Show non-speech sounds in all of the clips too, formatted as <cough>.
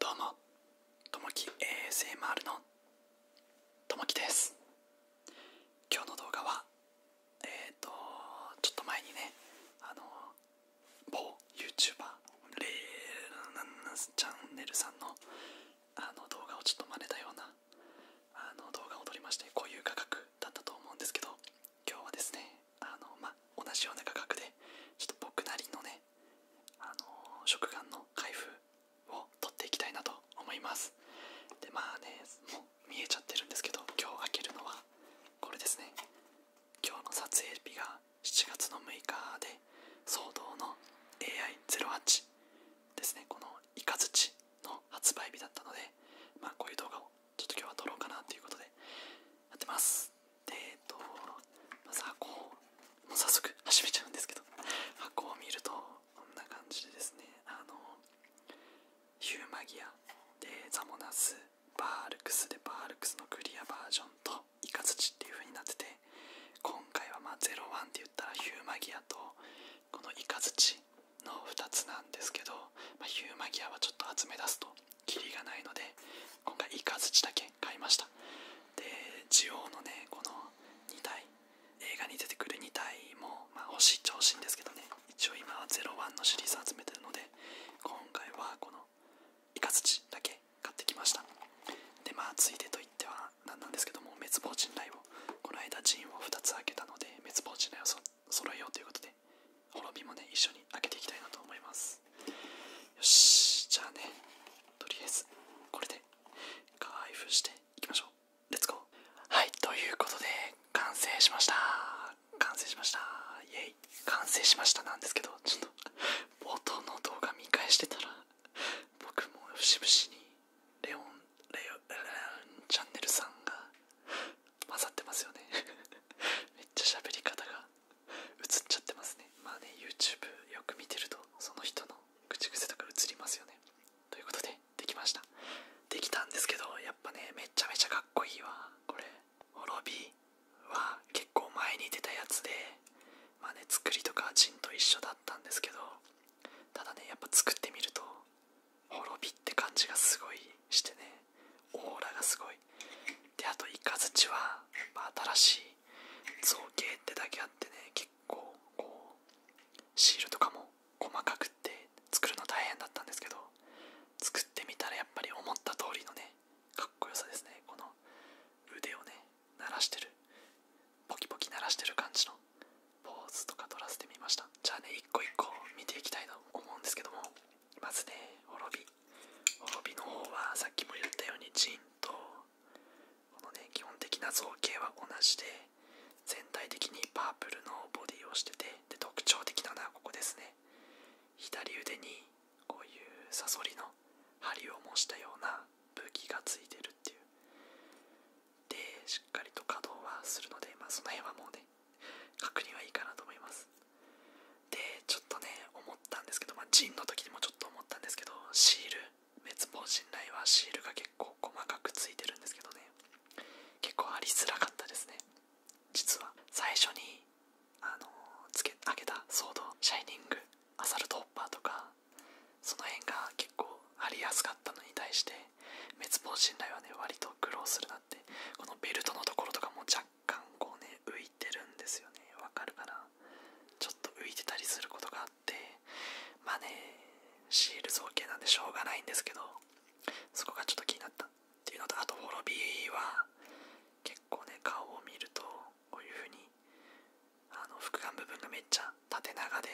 どうもともき ASMR のともきです今日の動画はえっ、とちょっと前にねあの某 YouTuber レーチャンネルさんのあの動画をちょっと真似たようなあの動画を撮りましてこういう価格だったと思うんですけど今日はですねあの、ま同じような価格でちょっと僕なりのねあの食玩の開封を取っていきたいなと思いますでまあねもう見えちゃってるんですけど今日開けるのはこれですね今日の撮影日が7月の6日で騒動の AI08 ですねこのイカズチの発売日だったのでまこういう動画をちょっと今日は撮ろうかなということでやってますでえっとまず箱をもう早速始めちゃうんですけど箱を見るとこんな感じでですねあのヒューマギアでザモナスバールクスでバールクスのクリアバージョンとイカズチっていう風になってて今回はま01って言ったらヒューマギアとこのイカズチの2つなんですけど、まヒューマギアはちょっと集め出すとキリがないので今回イカズチだけ買いましたでジオウのねこの2体映画に出てくる2体も、ま欲しい調子いいんですけどね一応今は01のシリーズ集めてるので今回はこのイカ土だけ買ってきましたでまあついでといっては何なんですけども滅亡人雷をこの間陣を2つ開けたので滅亡人雷をそ揃えようということで滅びもね一緒に開けていきたいなと思いますよしじゃあねとりあえずこれで開封していきましょうレッツゴーはいということで完成しました完成しましたイエイ完成しましたなんですけどちょっと冒頭の動画見返してたら僕も節々にレオンレオンチャンネルさんが混ざってますよね <laughs> めっちゃ喋り方が映っちゃってますねまあね YouTube よく見てるとその人の口癖とか映りますよねということでできましたできたんですけどやっぱねめちゃめちゃかっこいいわこれ滅びは結構前に出たやつでまあ作りとかちんと一緒だったんですけどただねやっぱ作ってみると滅びって感じがすごいしてねオーラがすごいであとイカズチは、まあ、新しい造形ってだけあってね結構こうシールとかも細かくって作るの大変だったんですけど作ってみたらやっぱり思った通りのねかっこよさですねこの腕をね鳴らしてるポキポキ鳴らしてる感じのポーズとか取らせてみましたじゃあね一個一個見ていきたいと思うんですけどもまずね滅び滅びの方はさっきも言ったようにジンとこのね基本的な造形は同じで全体的にパープルのボディをしててで特徴的なのはここですね左腕にこういうサソリの針を模したような武器がついてるっていうでしっかりと稼働はするので、まあ、その辺はもうね確認はいいかなと思いますでちょっとね思ったんですけど、まあ、ジの時にもちょっと思ったんですけどシール滅亡信頼はシールが結構細かくついてるんですけどね結構ありづらかったですね実は最初にあのつけあげたソード「シャイニング」「アサルトホッパー」とかその辺が結構ありやすかったのに対して滅亡信頼はね割と苦労するなってこのベルトのところとかも若干こうね浮いてるんですよねわかるかなちょっと浮いてたりすることがあってまあねシール造形なんでしょうがないんですけどそこがちょっと気になったっていうのとあと滅びは結構ね顔を見るとこういう風にあの副眼部分がめっちゃ縦長で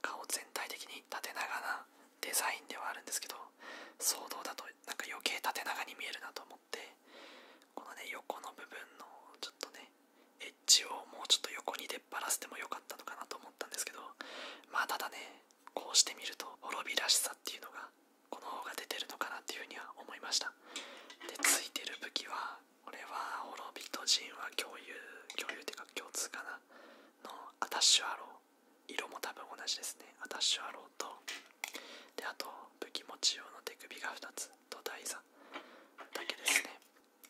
顔全体的に縦長なデザインではあるんですけど騒動だとなんか余計縦長に見えるなと思ってこのね横の部分のちょっとねエッジをもうちょっと横に出っ張らせてもよかったのかなと思ったんですけどまあただねこうして見ると滅びらしさっていうのがこの方が出てるのかなっていうふうには思いましたでついてる武器は俺は滅びと人は共有共有っていうか共通かなのアタッシュアロー色も多分同じですねアタッシュアローとであと武器持ち用の手首が2つと台座だけですね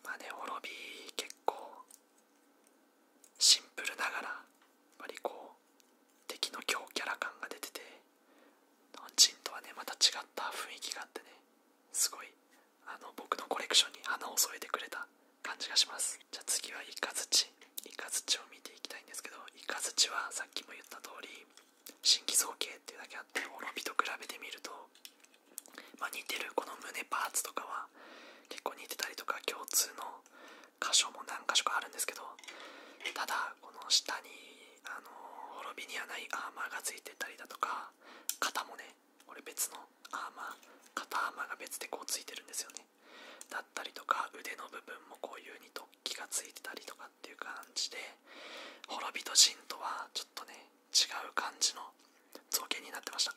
まあね滅び結構シンプルながら割りこう。敵の強キャラ感が出てて日本とはねまた違った雰囲気があってねすごいあの僕のコレクションに花を添えてくれた感じがしますじゃあ次はイカズチイカズチを見ていきたいんですけどイカズチはさっきも言った通り新規造形っていうだけあって滅びと比べてみると、ま似てるこの胸パーツとかは結構似てたりとか共通の箇所も何箇所かあるんですけどただこの下にあの滅びにはないアーマーがついてたりだとか肩もね俺別のアーマー肩アーマーが別でこうついてるんですよねだったりとか腕の部分もこういうに突起がついてたりとかっていう感じで滅びと陣とはちょっとね違う感じの造形になってました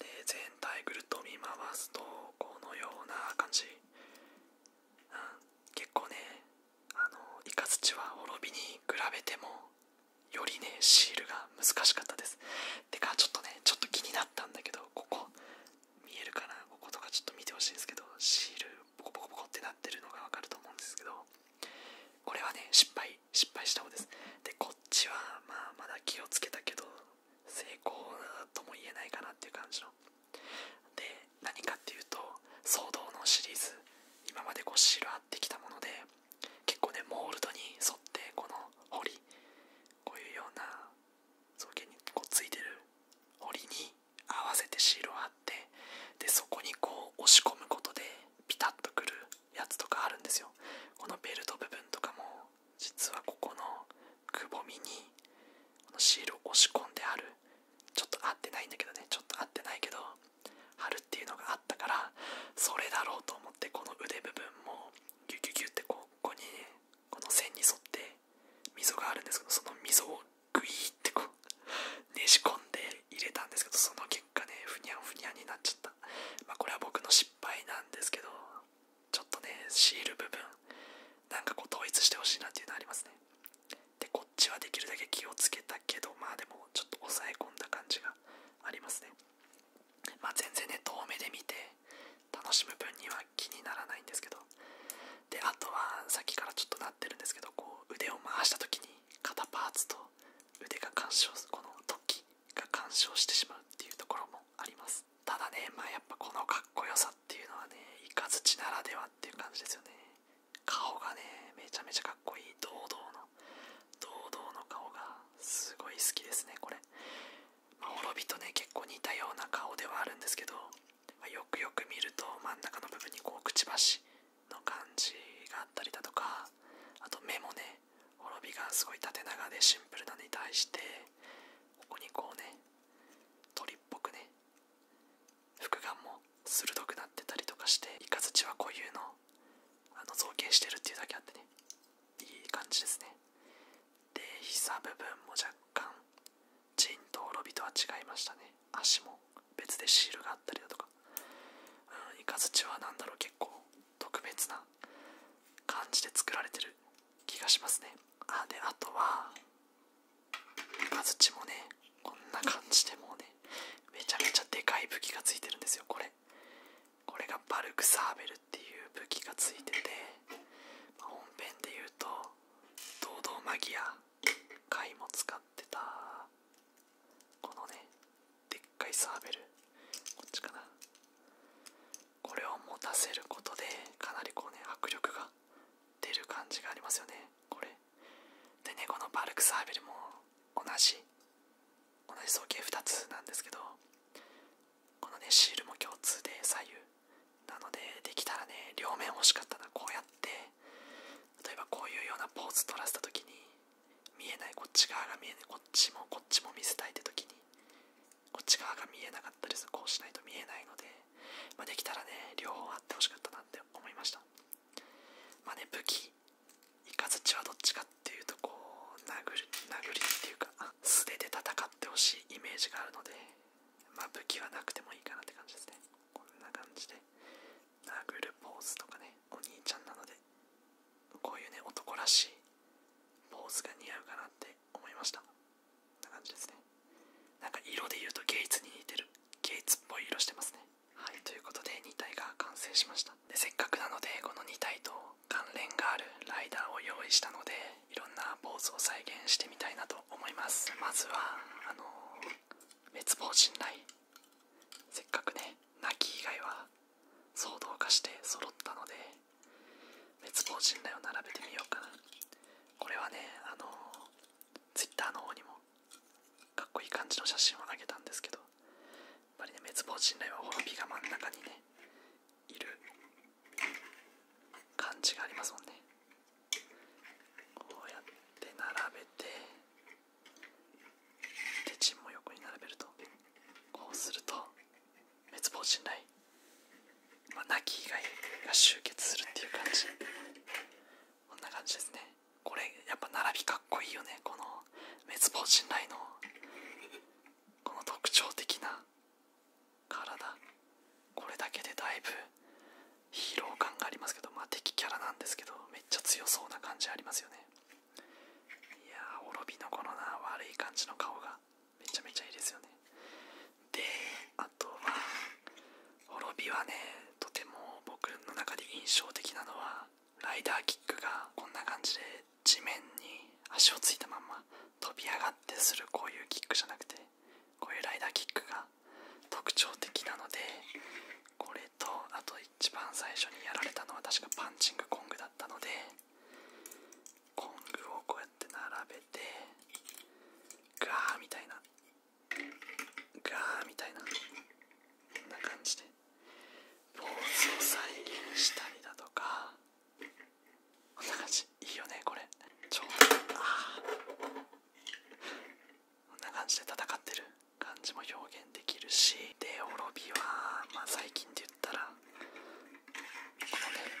で全体ぐるっと見回すとこのような感じ結構ねあのイカズチは滅びに比べてもよりねシールが難しかったですてかちょっとねちょっと気になったんだけどここ見えるかなこことかちょっと見てほしいんですけどシールボコボコボコってなってるのがわかると思うんですけどこれはね失敗失敗した方ですでこっちはまあまだ気をつけたけど成功とも言えないかなっていう感じので何かっていうと騒動のシリーズ今までこうをらってきたもので結構ねモールドに沿ってこのりこういうような造形にこうついてるりに合わせてシールを貼ってでそこにこう押し込むことでピタッとくるやつとかあるんですよこのベルト部分とかも実はここのくぼみにシールを押し込んであるちょっと合ってないんだけどねちょっと合ってないけど貼るっていうのがあったからそれだろうと思ってこの腕部分もギュギュギュってここにねこの線に沿って溝があるんですけどその溝をグイーってこうねじ込んで入れたんですけどその結果ねふにゃんふにゃんになっちゃったまこれは僕の失敗なんですけどちょっとね、シール部分、なんかこう統一してほしいなっていうのはありますね。で、こっちはできるだけ気をつけたけど、まあでもちょっと抑え込んだ感じがありますね。まあ全然ね、遠目で見て楽しむ分には気にならないんですけど、で、あとはさっきからちょっとなってるんですけど、こう腕を回した時に肩パーツと腕が干渉、この突起が干渉してしまうっていうところもあります。ただね、まあやっぱこのかっこよさっていうのはね、イカズならではっていう感じですよね。顔がね、めちゃめちゃかっこいい、堂々の、堂々の顔がすごい好きですね、これ。ま滅びとね、結構似たような顔ではあるんですけど、まよくよく見ると真ん中の部分にこう、くちばしの感じがあったりだとか、あと目もね、滅びがすごい縦長でシンプルなのに対して、ここにこうね、鳥っぽくね複眼も鋭くなってたりとかしてイカズチは固有のあの造形してるっていうだけあってねいい感じですねで膝部分も若干ジンとロビとは違いましたね足も別でシールがあったりだとかうんイカズチは何だろう結構特別な感じで作られてる気がしますねあであとは形もねこんな感じでもうねめちゃめちゃでかい武器がついてるんですよこれこれがバルクサーベルっていう武器がついてて、ま本編で言うと堂々マギア回も使ってたこのねでっかいサーベルこっちかなこれを持たせることでかなりこうね迫力が出る感じがありますよねこれでねこのバルクサーベルも同じ同じ造形2つなんですけどこのねシールも共通で左右なのでできたらね両面欲しかったなこうやって例えばこういうようなポーズ取らせた時に見えないこっち側が見えないこっちもこっちも見せたいって時にこっち側が見えなかったりす。る。こうしないと見えないので、まできたらね、両方あってほしかったなって思いました。まあね、武器、イカズはどっちかっていうと、こう、殴り、殴りっていうか、素手で戦ってほしいイメージがあるので、まあ、武器はなくてもいいかなって感じですね。こんな感じで、殴るポーズとかね、お兄ちゃんなので、こういうね、男らしいポーズが似合うかなって思いました。感じですねなんか色で言うとゲイツに似てるゲイツっぽい色してますねはいということで2体が完成しましたでせっかくなのでこの2体と関連があるライダーを用意したのでいろんなポーズを再現してみたいなと思いますまずはあの滅亡陣雷せっかくね泣き以外は騒動化して揃ったので滅亡信頼を並べてみようかなこれはねあの Twitter の方にもかっこいい感じの写真をあげたんですけどやっぱりね滅亡信頼はほ滅ピが真ん中にねいる感じがありますもんねこうやって並べて手順も横に並べるとこうすると滅亡信頼、まあ、き以外が集結するっていう感じこんな感じですねこれやっぱ並びかっこいいよねこの滅亡信頼のこの特徴的な体これだけでだいぶ疲労感がありますけどま敵キャラなんですけどめっちゃ強そうな感じありますよねいやー滅びのこのな悪い感じの顔がめちゃめちゃいいですよねであとは滅びはねとても僕の中で印象的なのはライダーキックがこんな感じで地面に足をついたまんま飛び上がってするこういうキックじゃなくてこういうライダーキックが特徴的なのでこれとあと一番最初にやられたのは確かパンチングコングだったので工具をこうやって並べてガーみたいなガーみたいなこんな感じでポーズを再現したりだとかこんな感じいいよねこれちょうどあこんな感じで戦ってる感じも表現できるしで滅びはまあ最近って言ったらこのね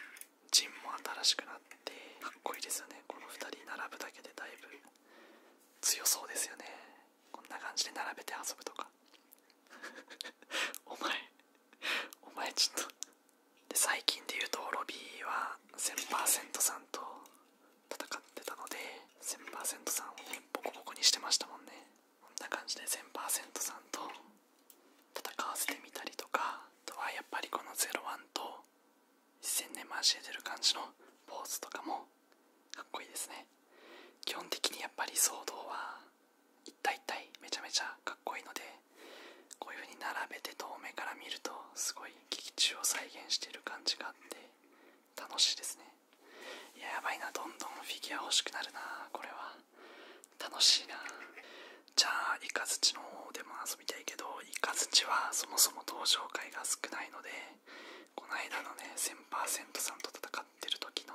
ジンも新しくなってかっこいいですよねこの2人並ぶだけでだいぶ強そうですよねこんな感じで並べて遊ぶとか <laughs> お前お前ちょっとで最近で言うとロビーは1000%さんと戦ってたので1000%さんをボコボコにしてましたもんねこんな感じで1000%さんと戦わせてみたりとかあとはやっぱりこの01と1000年交えてる感じのポーズとかもかっこいいですね基本的にやっぱり騒動は一体一体めちゃめちゃかっこいいのでこういう風に並べて遠目から見るとすごい劇中を再現してる感じがあって楽しいですねいややばいなどんどんフィギュア欲しくなるなこれは楽しいなじゃあイカズチの方でも遊びたいけどイカズチはそもそも登場回が少ないのでこの間のね1000%さんと戦ってる時の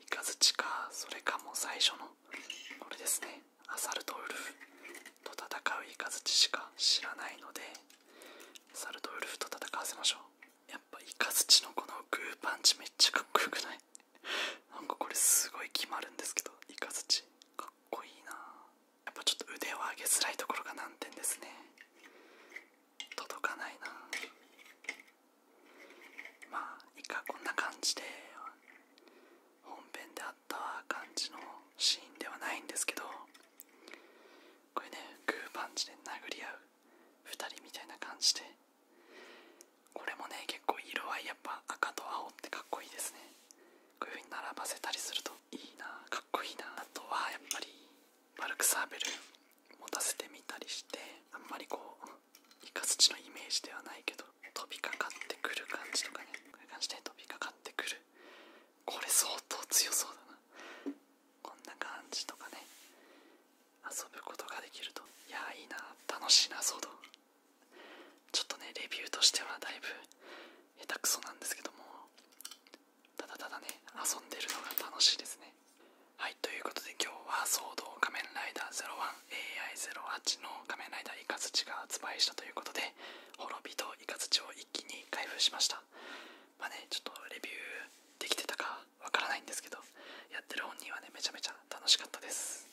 イカズチかそれかもう最初のこれですねアサルトウルフと戦うイカズチしか知らないのでアサルトウルフと戦わせましょうやっぱイカズチのこのグーパンチめっちゃかっこよくないなんかこれすごい決まるんですけどイカズかっこいいなやっぱちょっと腕を上げづらいところが難点ですね届かないなまあイカこんな感じで本編であった感じのシーンではないんですけどこれねグーパンチで殴り合う2人みたいな感じでこれもね結構色合いやっぱ赤と青ってかっこいいですねこういう風に並ばせたりするといいなかっこいいなあとはやっぱりバルクサーベル持たせてみたりしてあんまりこうイカスチのイメージではないけど飛びかかってくる感じとかねこういう感じで飛びかかってくるこれ相当強そうだなこんな感じとかね遊ぶことができるといやいいな楽しいな騒動ちょっとねレビューとしてはだいぶ下手くそなんですけどもただただね遊んでるのが楽しいですねはいということで今日は「騒動仮面ライダー 01AI08」の仮面ライダーイカズチが発売したということで滅びとイカズチを一気に開封しましたまあねちょっとレビューできてたかわからないんですけどやってる本人はねめちゃめちゃ楽しかったです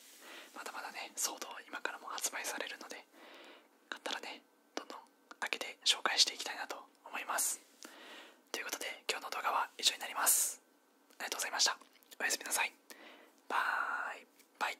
まだまだね、ソード今からも発売されるので、買ったらね、どんどん開けて紹介していきたいなと思います。ということで、今日の動画は以上になります。ありがとうございました。おやすみなさい。バイバイ。